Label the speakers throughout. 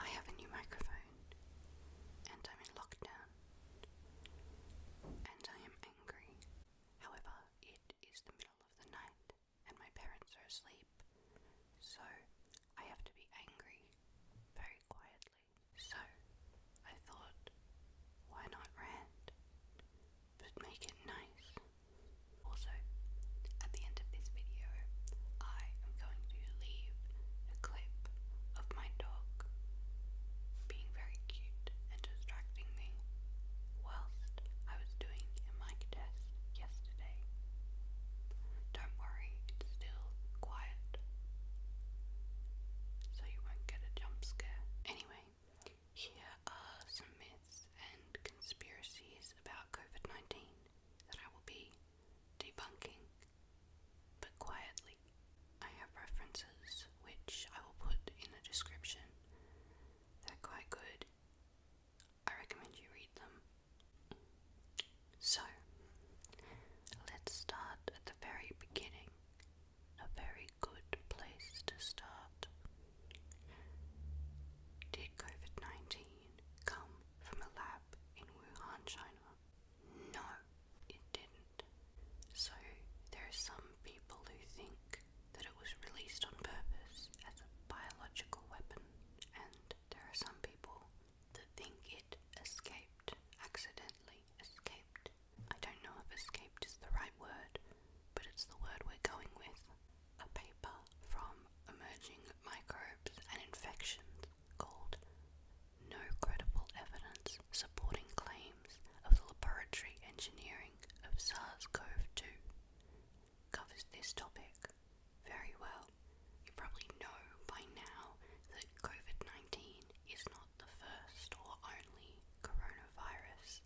Speaker 1: I have a new microphone, and I'm in lockdown, and I am angry. However, it is the middle of the night, and my parents are asleep, so I have to be angry very quietly. So I thought, why not rant, but make it nice? Also, at the end of this video, I am going to leave a clip of my dog being very cute and distracting me whilst I was doing a mic test yesterday. Don't worry, it's still quiet, so you won't get a jump scare. Anyway, here are some myths and conspiracies about COVID 19 that I will be debunking, but quietly. I have references which I will put in the description. They're quite good. I recommend you read them. So, let's start at the very beginning. A very good place to start. Did COVID 19 come from a lab in Wuhan, China? No, it didn't. So, there are some people who think that it was released on purpose as a biological weapon, and there are some people that think it escaped, accidentally escaped. I don't know if escaped is the right word, but it's the word we're going with. A paper from emerging microbes and infections called No Credible Evidence Supporting Claims of the Laboratory Engineering of SARS CoV 2 covers this topic very well. You probably know by now that COVID 19 is not the first or only coronavirus.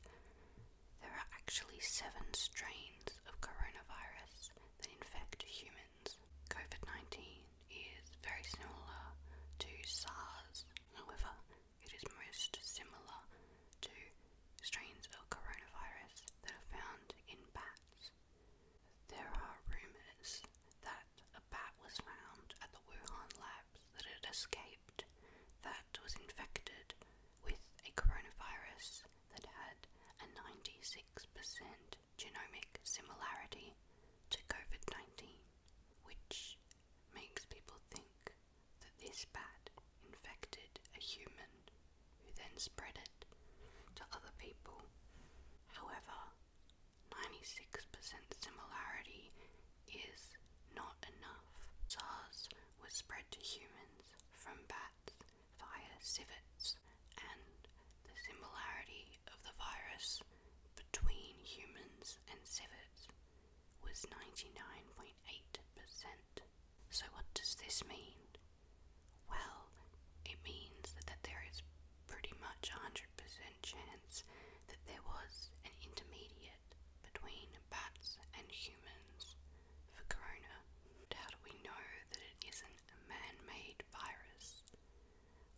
Speaker 1: There are actually seven strains of coronavirus, that infect humans. COVID 19 is very similar to SARS, however, it is most similar to strains of coronavirus that are found in bats. There are rumours that a bat was found at the Wuhan labs that had escaped, that was infected with a coronavirus that had a 96% genomic similarity to COVID 19, which makes people think that this bat infected a human who then spread it to other people. However, 96% similarity is not enough. SARS was spread to humans from bats bats civets and the similarity of the virus between humans and civets was 99.8%. So, what does this mean? Well, it means that there is pretty much a 100% chance that there was an intermediate between bats and humans for corona. how do we know that it isn't a man made virus?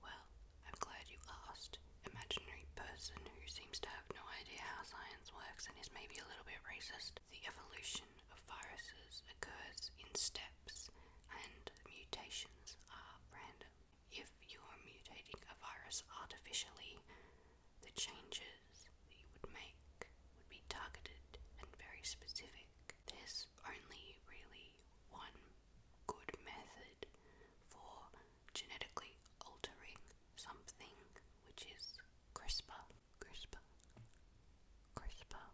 Speaker 1: Well, I'm glad you asked. Imaginary person who seems to have no idea how science works and is maybe a little bit racist. The evolution of viruses occurs in steps, and mutations are random. If you are mutating a virus artificially, the changes we would make would be targeted and very specific. There's only really one good method for genetically altering something, which is CRISPR. CRISPR. CRISPR.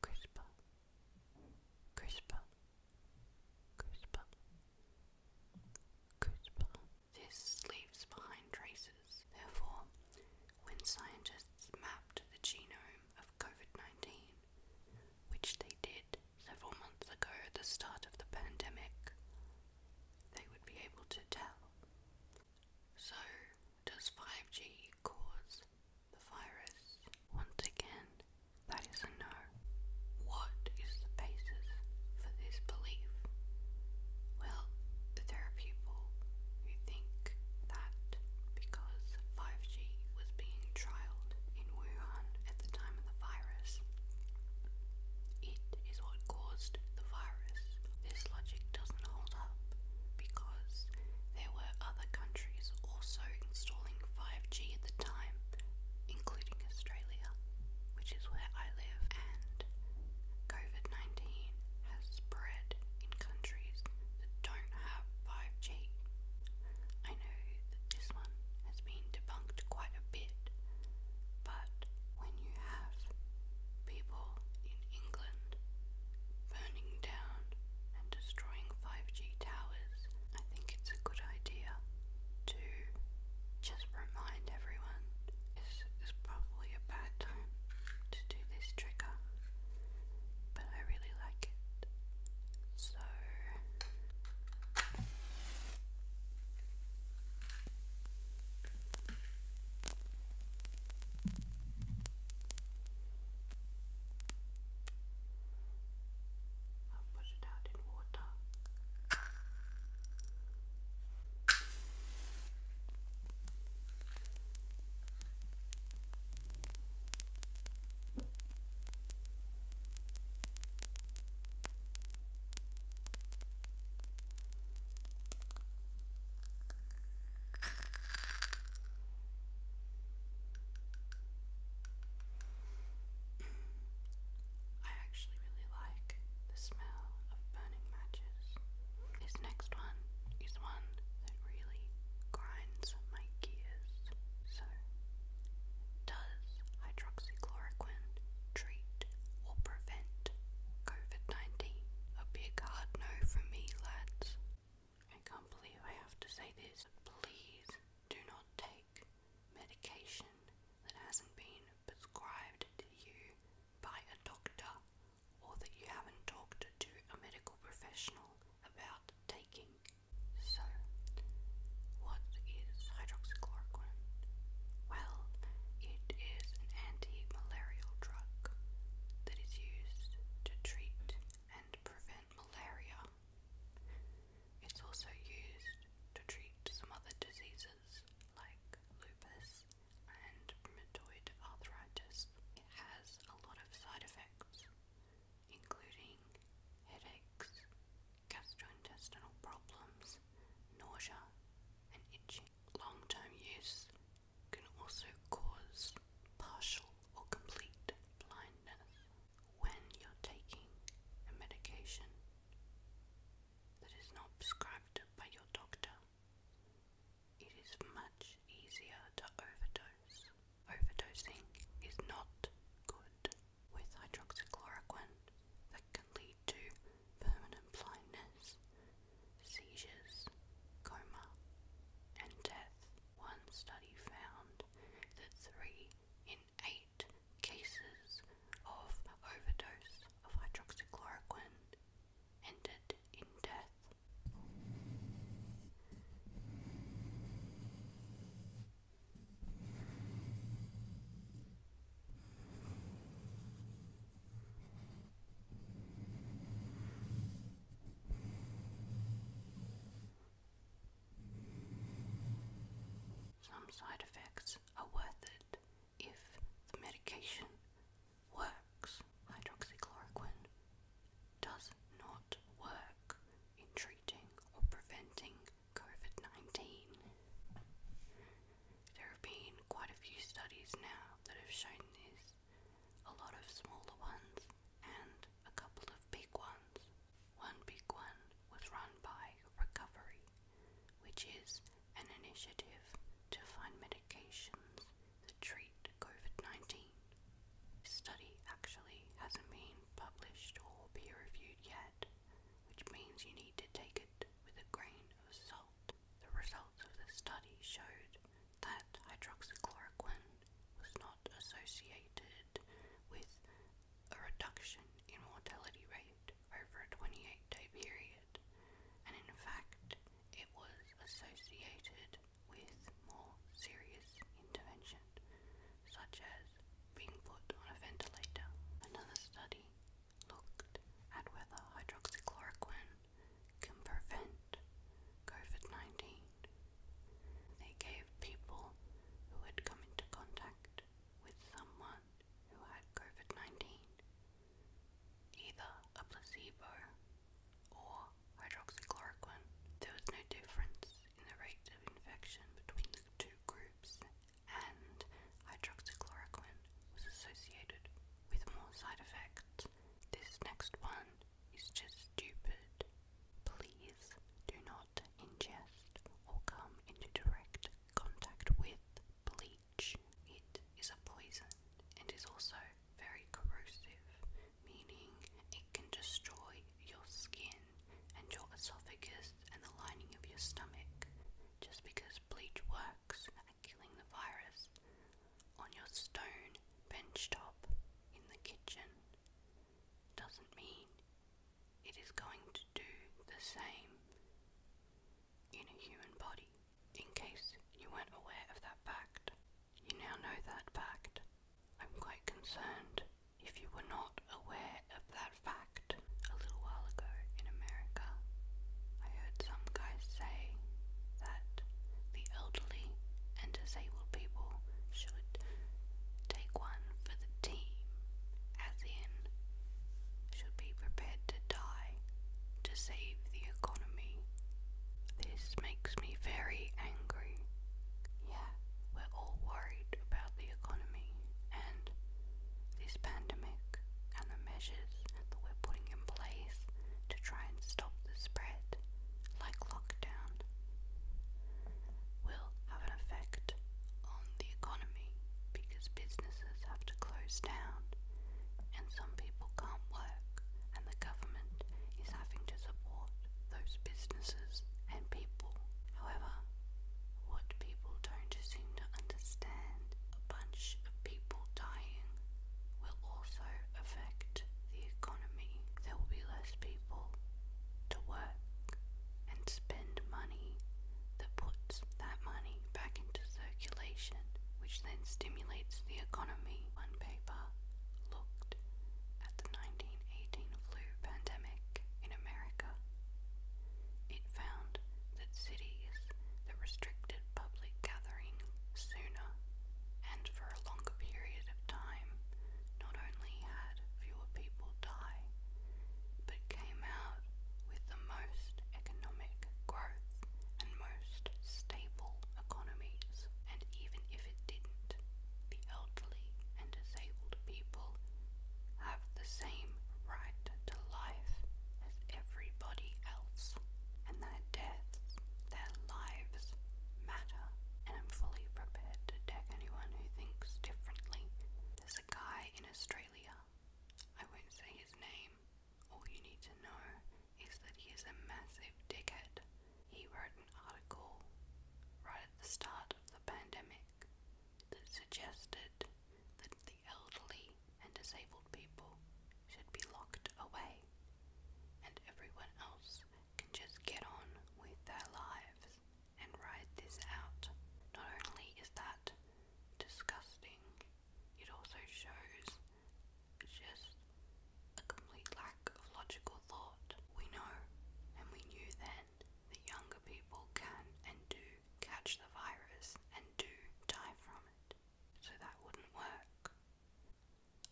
Speaker 1: CRISPR. CRISPR. CRISPR. CRISPR. This leaves behind traces viruses. Therefore, when scientists mapped the genome of COVID 19, which they did several months ago at the start of the pandemic, they would be able to tell. So, does 5G cause the virus? Once again, that is a no. What is the basis for this belief? Well, there are people who think that because 5G was being trialed in Wuhan at the time of the virus, it is what caused the virus. This logic doesn't hold up because there were other countries also installing 5G at the time, including Australia, which is where I live, and COVID 19 has spread in countries that don't have 5G. I know that this one has been debunked quite a bit, but when you have people in England burning down and destroying 5G towers, I think it's a good idea to just remind everyone this is probably a bad time to do this trigger, but I really like it. So. I'll put it out in water. I actually really like the smell of burning matches. This next one is one that really grinds my gears. So, does hydroxychloroquine treat or prevent COVID 19? A big hard no for me, lads. I can't believe I have to say this. Please do not take medication that hasn't been prescribed to you by a doctor or that you haven't talked to a medical professional about taking. So, what is hydroxychloroquine? Well, it is an anti malarial drug that is used to treat and prevent malaria. It's also used to treat some other diseases like lupus and rheumatoid arthritis. has a lot of side effects, including headaches, gastrointestinal problems, nausea, and itching. Long term use can also cause partial or complete blindness. When you're taking a medication that is not prescribed by your doctor, it is much easier to overdose. Overdosing is not good. With hydroxychloroquine, that can lead to permanent blindness, seizures, coma, and death. One study found that three in eight cases of overdose of hydroxychloroquine ended in death. Some side effects are worth it if the medication works. Hydroxychloroquine does not work in treating or preventing COVID 19. There have been quite a few studies now that have shown this, a lot of smaller ones and a couple of big ones. One big one was run by Recovery, which is an initiative to find medications that treat COVID 19. This study actually hasn't been published or peer reviewed yet, which means you need to take it with a grain of salt. The results of the study showed that hydroxychloroquine was not associated with a reduction in mortality rate over a 28 day period, and in fact, it was associated with more serious intervention, such as being put on a ventilator. Another study looked at whether hydroxychloroquine can prevent COVID 19. They gave people who had come into contact with someone who had COVID 19 either a placebo or hydroxychloroquine. There was no difference in the rate of infection between the two groups, and hydroxychloroquine was associated with more side effects. This next one is just stupid. Please do not ingest or come into direct contact with bleach. It is a poison and is also very corrosive, meaning it can destroy your skin and your esophagus and the lining of your stomach. Just because bleach works at killing the virus on your stone bench top in the kitchen doesn't mean it is going to do the same in a human body. In case you weren't aware of that fact, you now know that fact. I'm quite concerned if you were not aware of that fact. A little while ago in America, I heard some guys say that the elderly and disabled people should take one for the team, as in should be prepared to die to save the economy. This makes me very angry. Yeah, we're all worried about the economy and this pandemic and the measures that we're putting in place to try and stop the spread, like lockdown, will have an effect on the economy because businesses have to close down and some people can't work, and the government is having to support those businesses and people. However, what people don't seem to understand, a bunch of people dying will also affect the economy. There will be less people to work and spend money that puts that money back into circulation, which then stimulates the economy. One paper looked at the 1918 flu pandemic in America. It found that cities that restricted public gatherings sooner and for a longer period of time not only had fewer people die, but came out with the most economic growth and most stable economies, and even if it didn't, the elderly and disabled people have the same right to life as everybody else, and their deaths, their lives matter. And I'm fully prepared to deck anyone who thinks differently. There's a guy in Australia I won't say his name. All you need to know is that he is a massive dickhead. He wrote an article right at the start of the pandemic that suggested that the elderly and disabled people should be locked away and everyone else can just get on with their lives and ride this out. Not only is that disgusting it also shows just a complete lack of logical thought. We know, and we knew then, that younger people can and do catch the virus and do die from it. So that wouldn't work.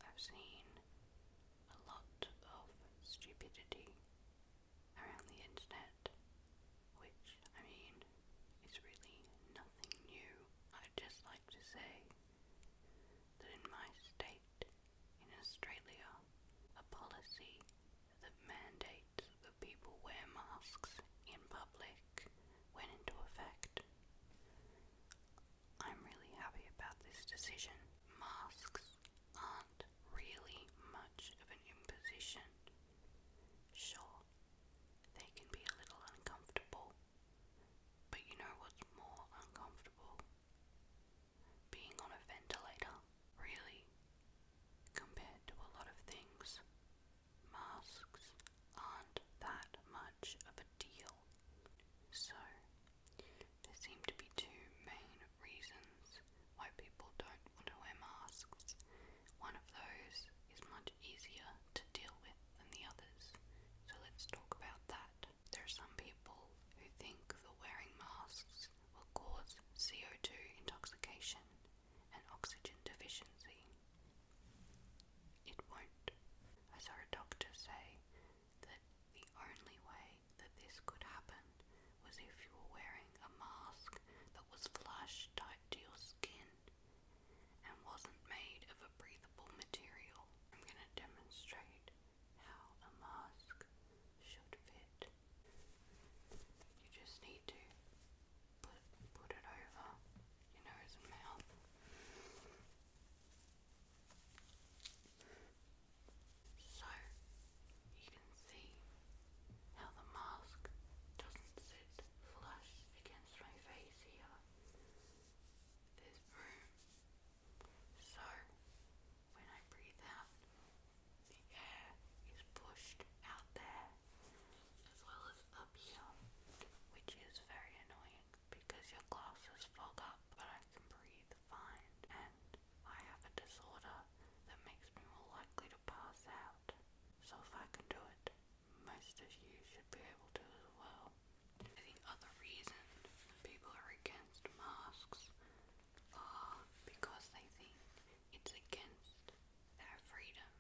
Speaker 1: I've seen a lot of stupidity around the internet, which, I mean, said really nothing new. I'd just like to say that in my state, in Australia, a policy that mandates that people wear masks in public went into effect. I'm really happy about this decision. Masks aren't really much of an imposition Sure, they can be a little uncomfortable, but you know what's more uncomfortable? Being on a ventilator, really, compared to a lot of things. Masks aren't that much of a deal. So, there seem to be two main reasons why people don't want to wear masks one of those is much easier to deal with than the others, so let's talk about that. There are some people who think that wearing masks will cause CO2 intoxication and oxygen deficiency. It won't. I saw a doctor say that the only way that this could happen was if you were wearing a mask that was flush tight to your skin and wasn't made of a breathable material. I'm going to demonstrate how a mask should fit. You just need to put, put it over your nose and mouth. So you can see now the mask doesn't sit flush against my face here. There's room. So when I breathe out, the air is pushed out there as well as up here, which is very annoying because your glasses fog up, but I can breathe fine. And I have a disorder that makes me more likely to pass out. So if I can do it, most of you should be able to as well. The other reason people are against masks are because they think it's against their freedom.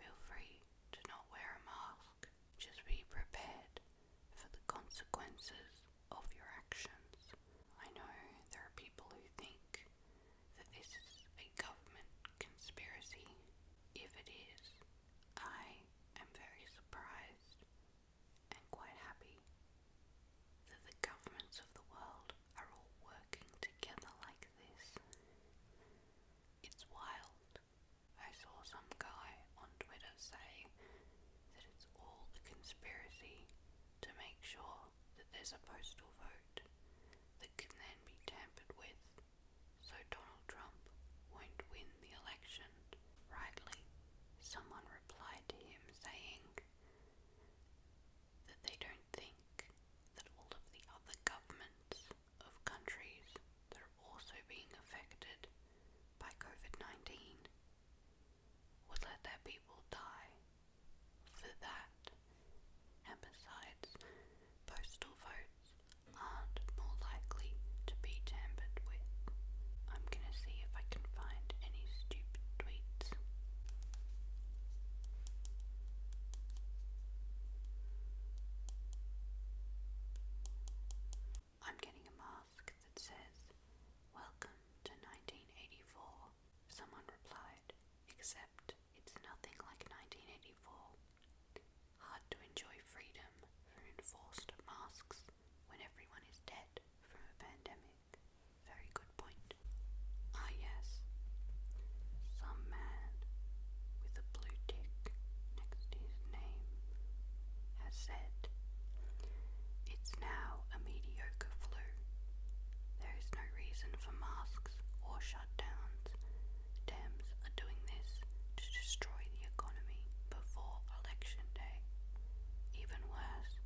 Speaker 1: Feel free to not wear a mask. Just be prepared for the consequences of your actions. I know there are people who think that this is a government conspiracy. If it is, I am very surprised and quite happy that the governments of the world are all working together like this. It's wild. I saw some guy on Twitter say that it's all conspiracy to make sure that there's a postal vote that can then be tampered with, so Donald Trump won't win the election. Rightly, someone replied to him saying that they don't think that all of the other governments of countries that are also being affected by COVID 19 would let their people die for that. And besides, postal votes aren't more likely to be tampered with. I'm gonna see if I can find any stupid tweets. I'm getting a mask that says, Welcome to 1984. Someone replied, Except except it's nothing like 1984. Hard to enjoy freedom from enforced masks when everyone is dead from a pandemic. Very good point. Ah, yes. Some man with a blue tick next his name has said, It's now a mediocre flu. There is no reason for masks or Dems are doing this to destroy the economy before election day. Even worse,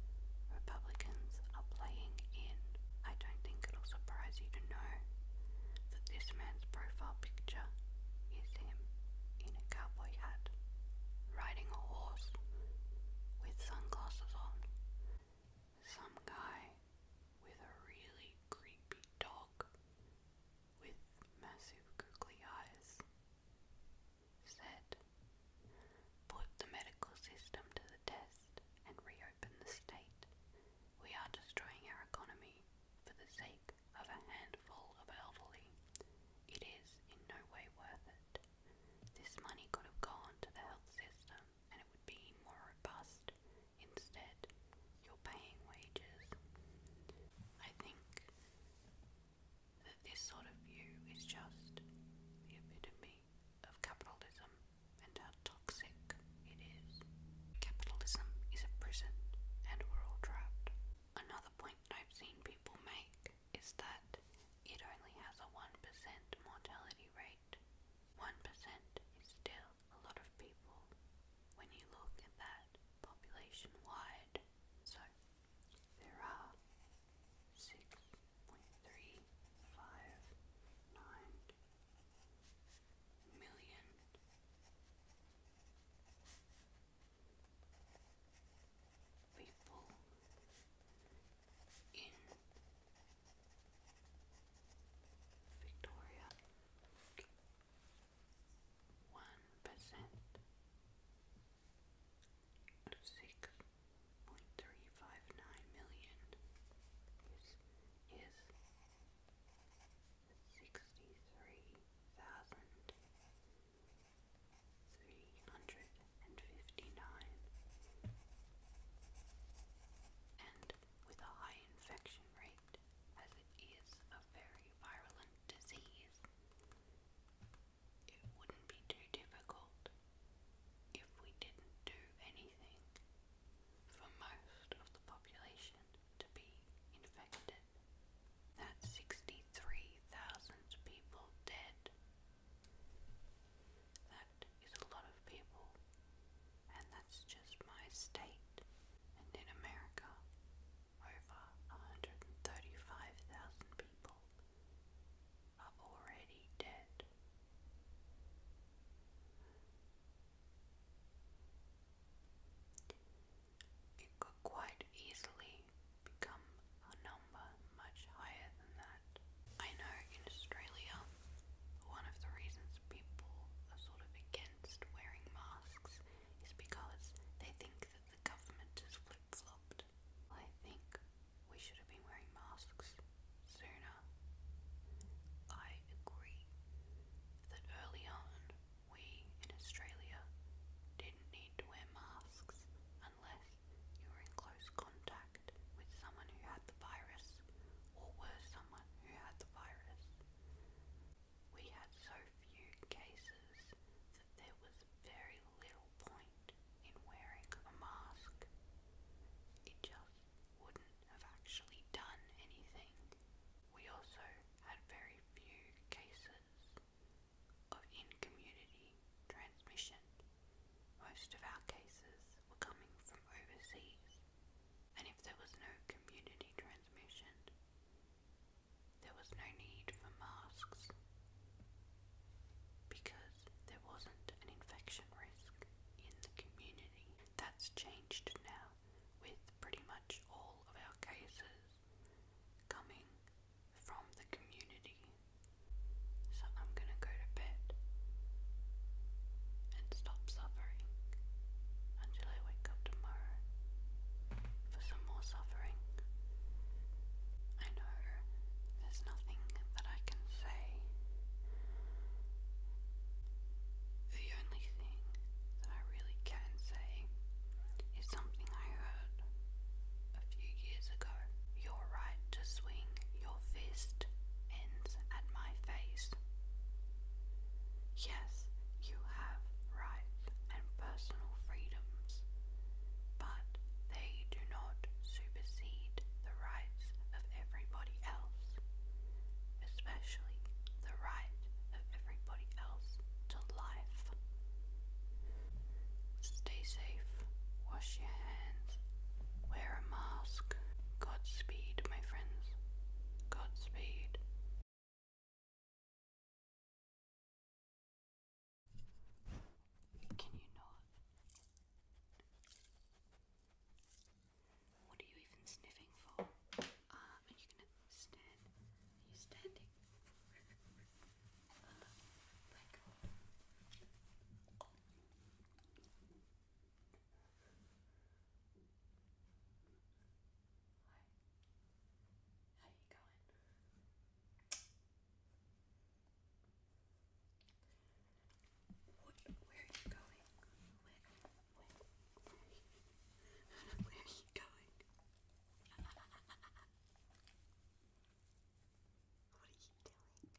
Speaker 1: Republicans are playing in. I don't think it'll surprise you to know that this man's profile picture is him in a cowboy hat, riding a horse with sunglasses on some guy with a really creepy dog with massive googly eyes said, Put the medical system to the test and reopen the state. We are destroying our economy for the sake of a handful of elderly. It is in no way worth it. This money could have gone to the health system and it would be more robust. Instead, you're paying wages. I think that this sort of view is just the epitome of capitalism and how toxic it is. Capitalism is a prison, and we're all trapped. Another point that I've seen people make is that it only has a 1% mortality rate 1% is still a lot of people when you look at that population wide. So there are 6.359 million people in Victoria, one percent six point three five nine million is sixty three thousand three hundred and fifty nine and with a high infection rate, as it is a very virulent disease. It wouldn't be too difficult if we didn't do anything for most of the population to be infected. That's 63,000 people dead. That that is a lot of people, and that's just my state. And in America, over 135,000 people are already dead. It could quite easily become a number much higher than that. I know in Australia, one of the reasons people are sort of against wearing masks is because they think that the government has flip flopped. I think we should have been wearing masks sooner. I agree that early on we in Australia didn't need to wear masks unless you were in close contact with someone who had the virus or were someone who had the virus. We had so few cases that there was very little point in wearing a mask. It just wouldn't have actually done anything. We also had very few cases of in community transmission. Most of our cases were coming from overseas, and if there was no community transmission, there was no need for masks because there wasn't an infection risk in the community. That's changed now with pretty much all of our cases coming from the community so I'm gonna go to bed and stop suffering until I wake up tomorrow for some more suffering. I know there's nothing that I can say. The only thing that I really can say is something I heard a few years ago. Your right to swing your fist ends at my face. Yes, you have rights and personal freedoms, but they do not supersede the rights of everybody else, especially the right of everybody else to life. Stay safe, wash your hands, wear a mask. Godspeed, my friends. Godspeed. Can you not? What are you even sniffing for? Ah, are you gonna stand? Are you standing? Uh, Hi. How you going? What, where are you going? Where, where, where are you, where are you going? What are you doing?